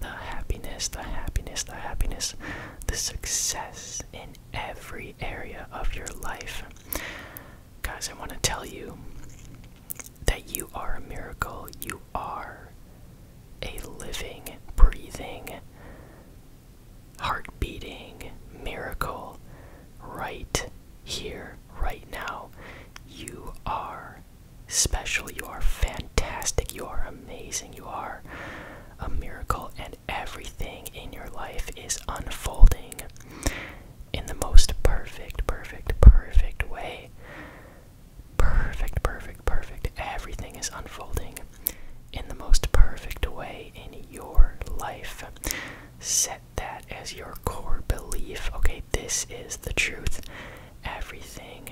the happiness, the happiness, the happiness, the success in every area of your life. Guys, I want to tell you that you are a miracle. You are a living, breathing, heart beating miracle right here, right now. You are special, you are fantastic, you are amazing, you are a miracle, and everything in your life is unfolding in the most perfect, perfect, perfect way. Perfect, perfect, perfect. Everything is unfolding in the most perfect way in your life. Set that as your core belief. Okay, this is the truth. Everything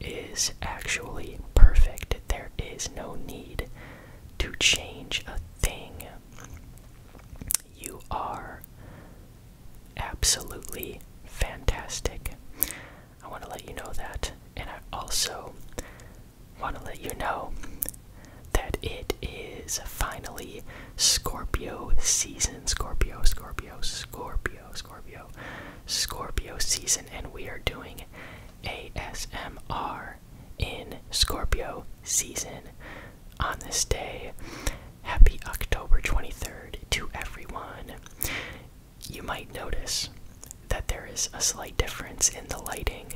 is actually perfect. There is no need to change a thing. You are absolutely fantastic. I want to let you know that, and I also want to let you know that it is finally Scorpio season. Scorpio, Scorpio, Scorpio, Scorpio, Scorpio season. And we are doing ASMR in Scorpio season on this day. Happy October 23rd to everyone. You might notice that there is a slight difference in the lighting,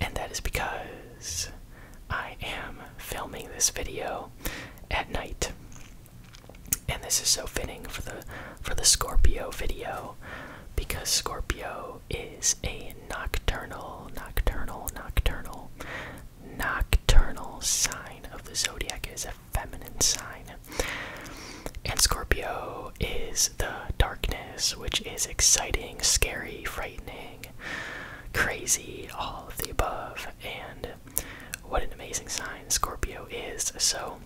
and that is because I am filming this video at night. And this is so fitting for the for the Scorpio video because Scorpio is a nocturnal, nocturnal, nocturnal, nocturnal sign of the zodiac is a feminine sign. And Scorpio is the darkness, which is exciting, scary, frightening, crazy, all of the above, and what an amazing sign Scorpio is. So,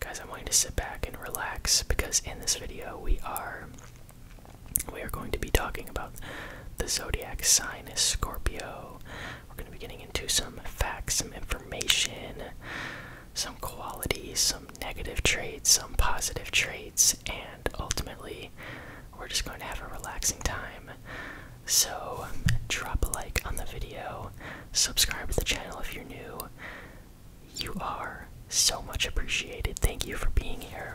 guys, I'm wanting to sit back and relax because in this video we are we are going to be talking about the zodiac sign is Scorpio. We're going to be getting into some facts, some information, some qualities, some negative traits, some positive traits, and and ultimately, we're just going to have a relaxing time. So, drop a like on the video, subscribe to the channel if you're new. You are so much appreciated. Thank you for being here.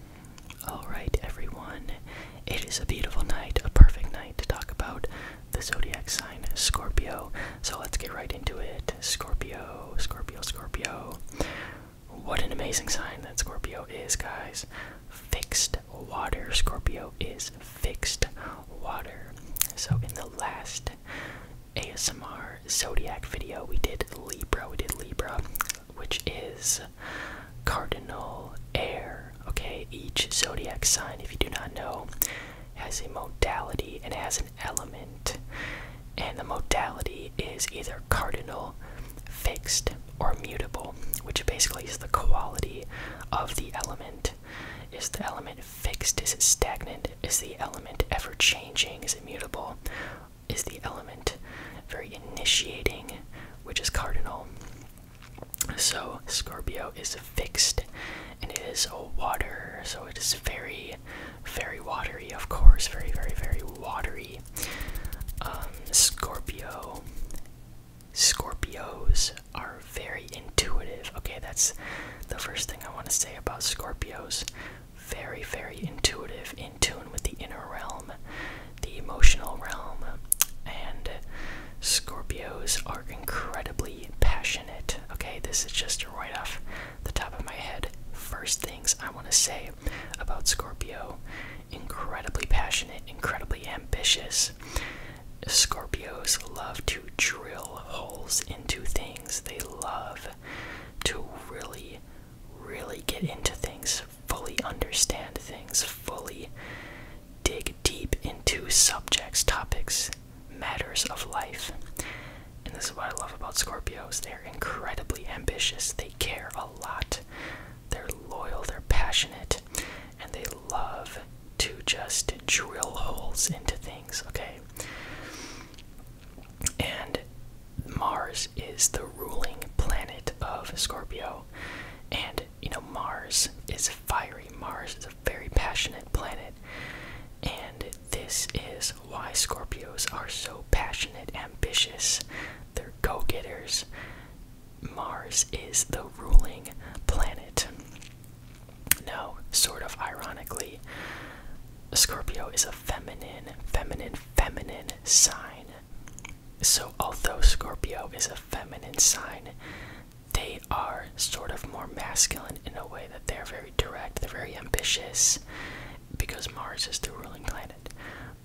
Alright, everyone, it is a beautiful night, a perfect night to talk about the zodiac sign Scorpio. So let's get right into it. Scorpio, Scorpio, Scorpio. What an amazing sign that Scorpio is, guys. Fixed water. Scorpio is fixed water. So in the last ASMR zodiac video, we did Libra, we did Libra, which is cardinal air. Okay, each zodiac sign, if you do not know, has a modality and has an element, and the modality is either cardinal, fixed, or mutable, which basically is the quality of the element. Is the element fixed? Is it stagnant? Is the element ever changing? Is it mutable? is the element, very initiating, which is cardinal. So Scorpio is fixed and it is a water, so it is very, very watery, of course, very, very, very watery. Um, Scorpio. Scorpios are very intuitive. Okay, that's the first thing I want to say about Scorpios very, very intuitive, in tune with the inner realm, the emotional realm, and Scorpios are incredibly passionate. Okay, this is just right off the top of my head. First things I want to say about Scorpio incredibly passionate, incredibly ambitious. Scorpios love to drill holes into things. They love to really really, get into things, fully understand things, fully dig deep into subjects, topics, matters of life. And this is what I love about Scorpios. They're incredibly ambitious, they care a lot, they're loyal, they're passionate, and they love to just drill holes into things, okay? And Mars is the ruling planet of Scorpio. And, you know, Mars is fiery. Mars is a very passionate planet. And this is why Scorpios are so passionate, ambitious. They're go getters. Mars is the ruling planet. No, sort of ironically, Scorpio is a feminine, feminine, feminine sign. So, although Scorpio is a feminine sign, they are sort of more masculine in a way that they're very direct, they're very ambitious because Mars is the ruling planet.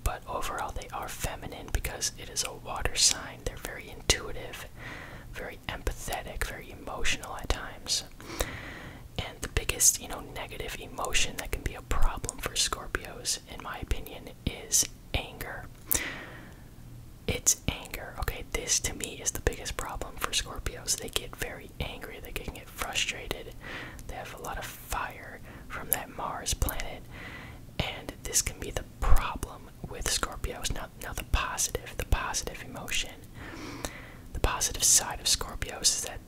But overall, they are feminine because it is a water sign. They're very intuitive, very empathetic, very emotional at times. And the biggest, you know, negative emotion that can be a problem for Scorpios, in my opinion, is anger. It's anger, okay? This to me is the biggest problem for Scorpios. They get very angry, they can get frustrated, they have a lot of fire from that Mars planet, and this can be the problem with Scorpios. Now, now the positive, the positive emotion the positive side of Scorpios is that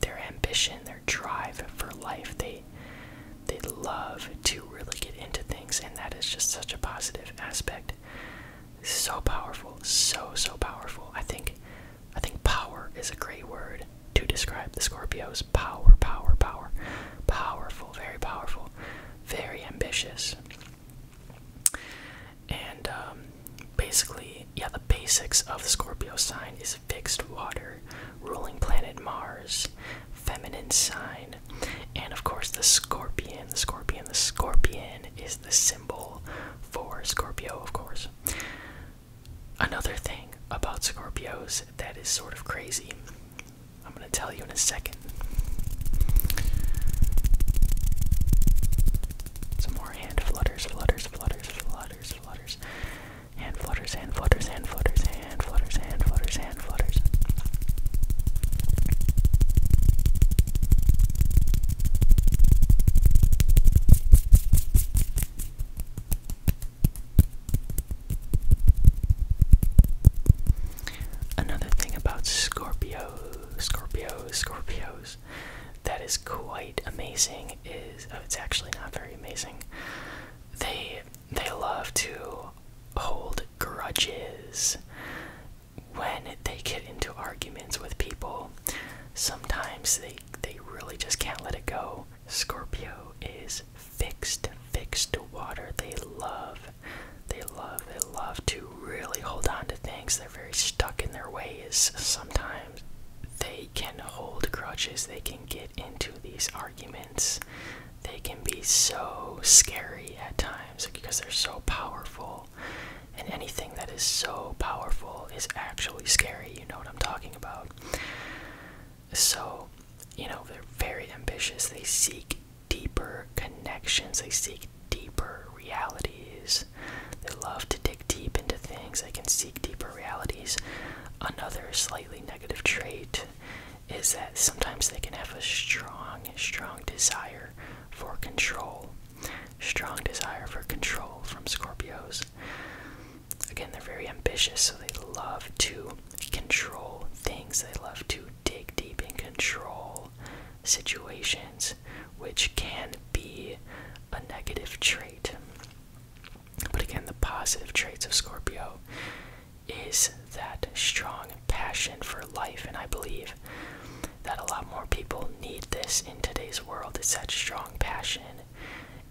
their ambition, their drive for life, they they love to really get into things, and that is just such a positive aspect. So powerful, so so powerful. I think I think power is a great word to describe the Scorpios. Power, power, power. Powerful, very powerful, very ambitious. And um, basically, yeah, the basics of the Scorpio sign is fixed water, ruling planet Mars, feminine sign, and of course the scorpion. The scorpion, the scorpion is the symbol for Scorpio, of course. Another thing about Scorpios that is sort of crazy, I'm going to tell you in a second. Some more hand flutters, flutters, flutters, flutters, flutters. Hand flutters, hand flutters, hand flutters, hand flutters, hand flutters, hand flutters. Another thing about Scorpio, Scorpio, Scorpio, that is quite amazing is oh, it's actually not very amazing. They they love to hold grudges when they get into arguments with people. Sometimes they they really just can't let it go. Scorpio is fixed, fixed to water. They love they love they love to really hold on to things. They're very stuck in their ways. Sometimes they can hold grudges. They can get into these arguments. They can be so scary at times because they're so powerful. And anything that is so powerful is actually scary. You know what I'm talking about. So, you know, they're very ambitious. They seek deeper connections, they seek deeper realities. They love to dig deep into things, they can seek deeper realities. Another slightly negative trait is that sometimes they can have a strong, strong desire for control. Strong desire for control from Scorpios. Again, they're very ambitious, so they love to control things. They love to dig deep and control situations, which can be a negative trait. But again, the positive traits of Scorpio is that strong passion for life, and I believe that a lot more people need this in today's world. Such strong passion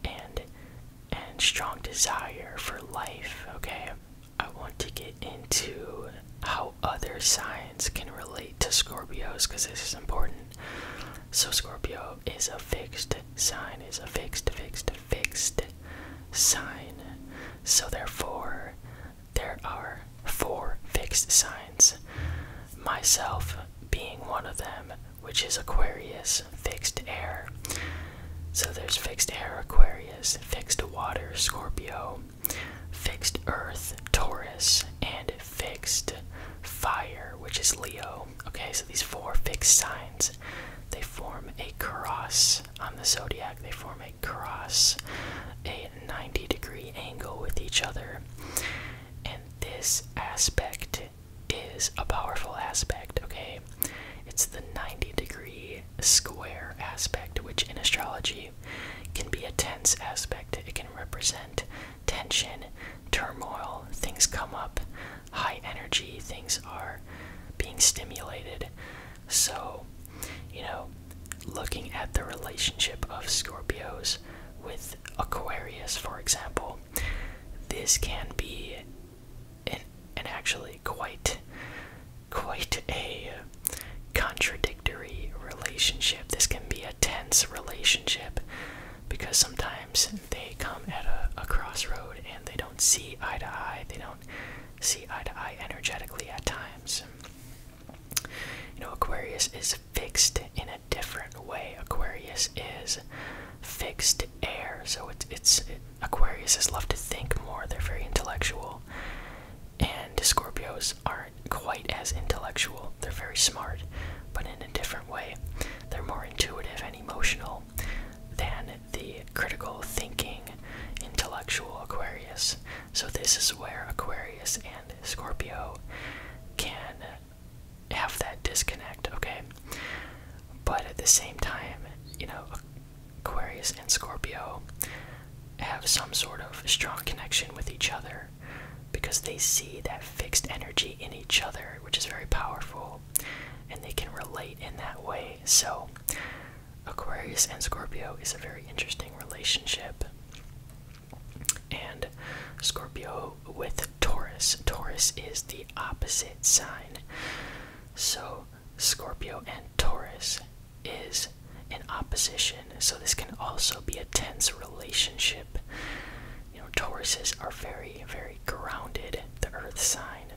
and and strong desire for life, okay? I want to get into how other signs can relate to Scorpios because this is important. So, Scorpio is a fixed sign, is a fixed, fixed, fixed sign. So, therefore, there are four fixed signs. Myself being one of them, which is Aquarius, fixed air. So, there's fixed air, Aquarius, fixed water, Scorpio fixed Earth, Taurus, and fixed fire, which is Leo. Okay, so these four fixed signs, they form a cross on the zodiac. They form a cross, a 90 degree angle with each other. And this aspect is a powerful aspect, okay? It's the 90 degree square aspect, which in astrology can be a tense aspect. It can represent tension, turmoil, things come up, high energy, things are being stimulated. So, you know, looking at the relationship of Scorpios with Aquarius, for example, this can be an actually quite quite a contradictory relationship. This can be a tense relationship because sometimes they come at a, crossroad and they don't see eye to eye. They don't see eye to eye energetically at times. You know, Aquarius is fixed in a different way. Aquarius is fixed air, so it's it's Aquarius is love to think more. They're very intellectual, and Scorpios aren't quite as intellectual. They're very smart, but in a different way. They're more intuitive and emotional than the critical thinking, intellectual Aquarius. So, this is where Aquarius and Scorpio can have that disconnect, okay? But at the same time, you know, Aquarius and Scorpio have some sort of strong connection with each other because they see that fixed energy in each other, which is very powerful, and they can relate in that way. So, Aquarius and Scorpio is a very interesting relationship. And Scorpio with Taurus. Taurus is the opposite sign. So, Scorpio, and Taurus is in opposition, so this can also be a tense relationship. You know, Tauruses are very, very grounded, the earth sign,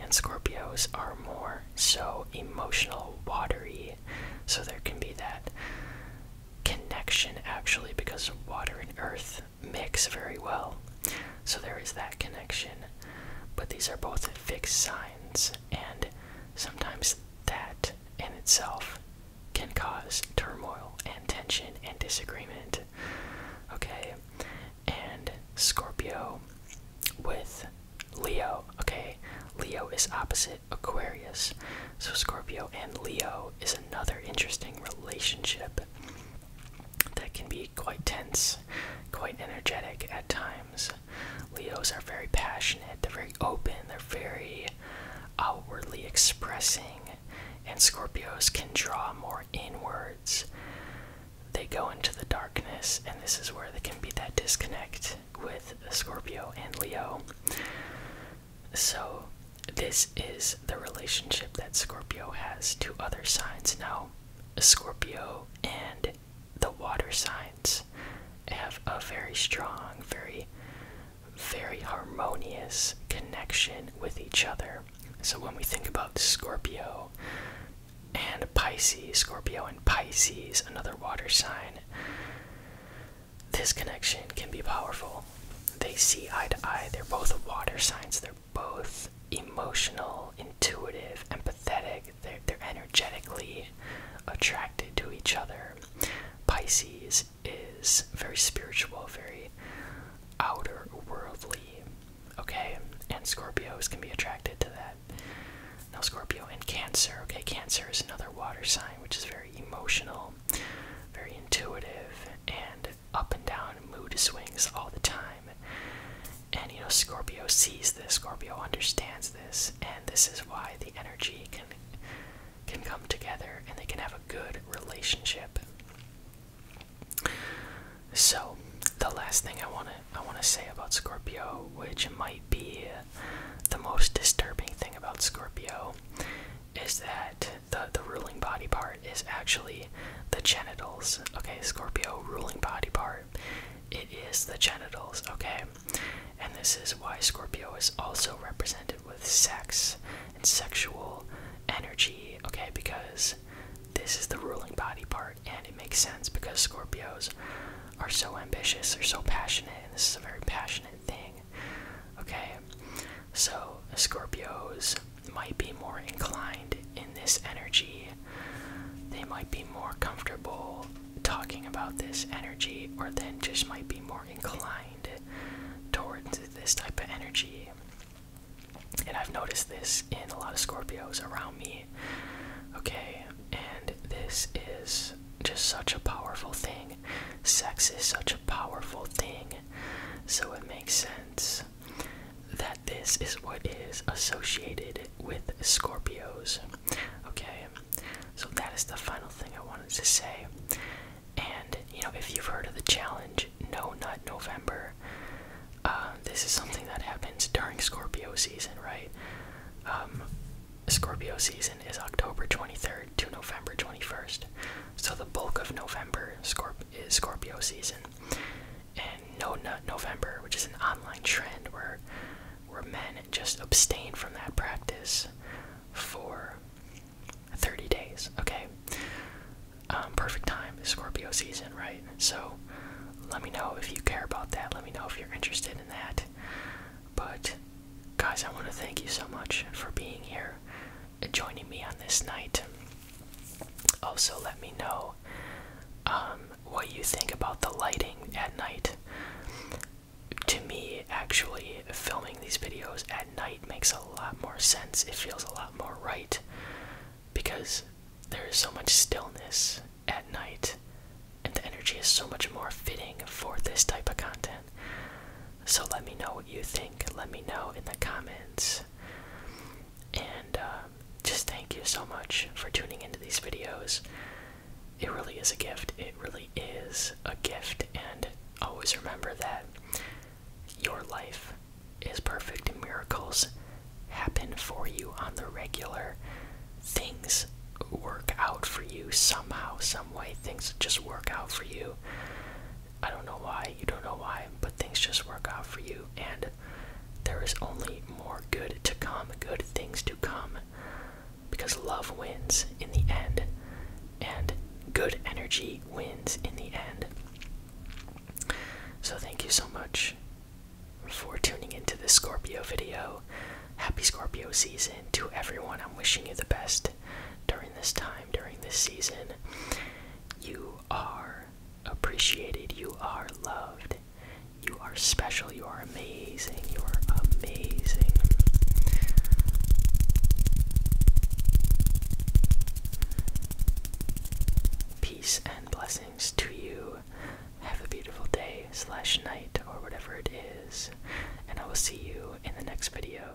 and Scorpios are more so emotional, watery, so there can be that connection actually because water and earth mix very well. So there is that connection but these are both fixed signs, and sometimes that in itself can cause turmoil and tension and disagreement. Okay, and Scorpio with Leo. Okay, Leo is opposite Aquarius, so Scorpio and Leo is another interesting relationship that can be quite tense, quite energetic at times. Leos are very passionate, they're very open, they're very outwardly expressing, and Scorpios can draw more inwards. They go into the darkness, and this is where there can be that disconnect with Scorpio and Leo. So, this is the relationship that Scorpio has to other signs. Now, Scorpio and the water signs have a very strong, very, very harmonious connection with each other. So when we think about Scorpio and Pisces, Scorpio and Pisces, another water sign, this connection can be powerful. They see eye to eye. They're both water signs. They're both emotional, intuitive, empathetic. They're, energetically attracted to each other. Pisces is very spiritual, very outer worldly. Okay? And Scorpios can be attracted to that. Now, Scorpio and Cancer. Okay, Cancer is another water sign, which is very emotional, very intuitive, and up and down mood swings all the time. And you know, Scorpio sees this, Scorpio understands this, and this is why the energy can can come together and they can have a good relationship. So, the last thing I want to I want to say about Scorpio, which might be the most disturbing thing about Scorpio, is that the the ruling body part is actually the genitals. Okay, Scorpio ruling body part. It is the genitals, okay? And this is why Scorpio is also represented with sex and sexual energy, okay? Because this is the ruling body part, and it makes sense because Scorpios are so ambitious, they're so passionate, and this is a very passionate thing, okay? So, Scorpios might be more inclined in this energy. They might be more comfortable talking about this energy, or then just might be more inclined towards this type of energy. And I've noticed this in a lot of Scorpios around me. Okay, and this is just such a powerful thing. Sex is such a powerful thing. So it makes sense that this is what is associated with Scorpios. Okay, so that is the final thing I wanted to say. And you know, if you've heard of the challenge, no, not November. Uh, this is something that happens during Scorpio season, right? Um, Scorpio season is October 23rd to November 21st. So the bulk of November is Scorpio season and No Nut November, which is an online trend where where men just abstain from that practice for 30 days. Okay, um, perfect time Scorpio season, right? So let me know if you care about that. Let me know if you're interested in that. But guys, I want to thank you so much for being here joining me on this night. Also, let me know um, what you think about the lighting at night. To me, actually, filming these videos at night makes a lot more sense. It feels a lot more right because there is so much stillness at night, and the energy is so much more fitting for this type of content. So, let me know what you think. Let me know in the comments. And um, just thank you so much for tuning into these videos. It really is a gift. It really is a gift. And always remember that your life is perfect and miracles happen for you on the regular. Things work out for you somehow, some way. Things just work out for you. I don't know why, you don't know why, but things just work out for you, and there is only more good to come, good things to come, because love wins in the end, and good energy wins in the end. So, thank you so much for tuning into this Scorpio video. Happy Scorpio season to everyone. I'm wishing you the best during this time, during this season. You are appreciated, you are loved, you are special, you are amazing, you are amazing. Peace and blessings to you. Have a beautiful day, slash night, or whatever it is, and I will see you in the next video.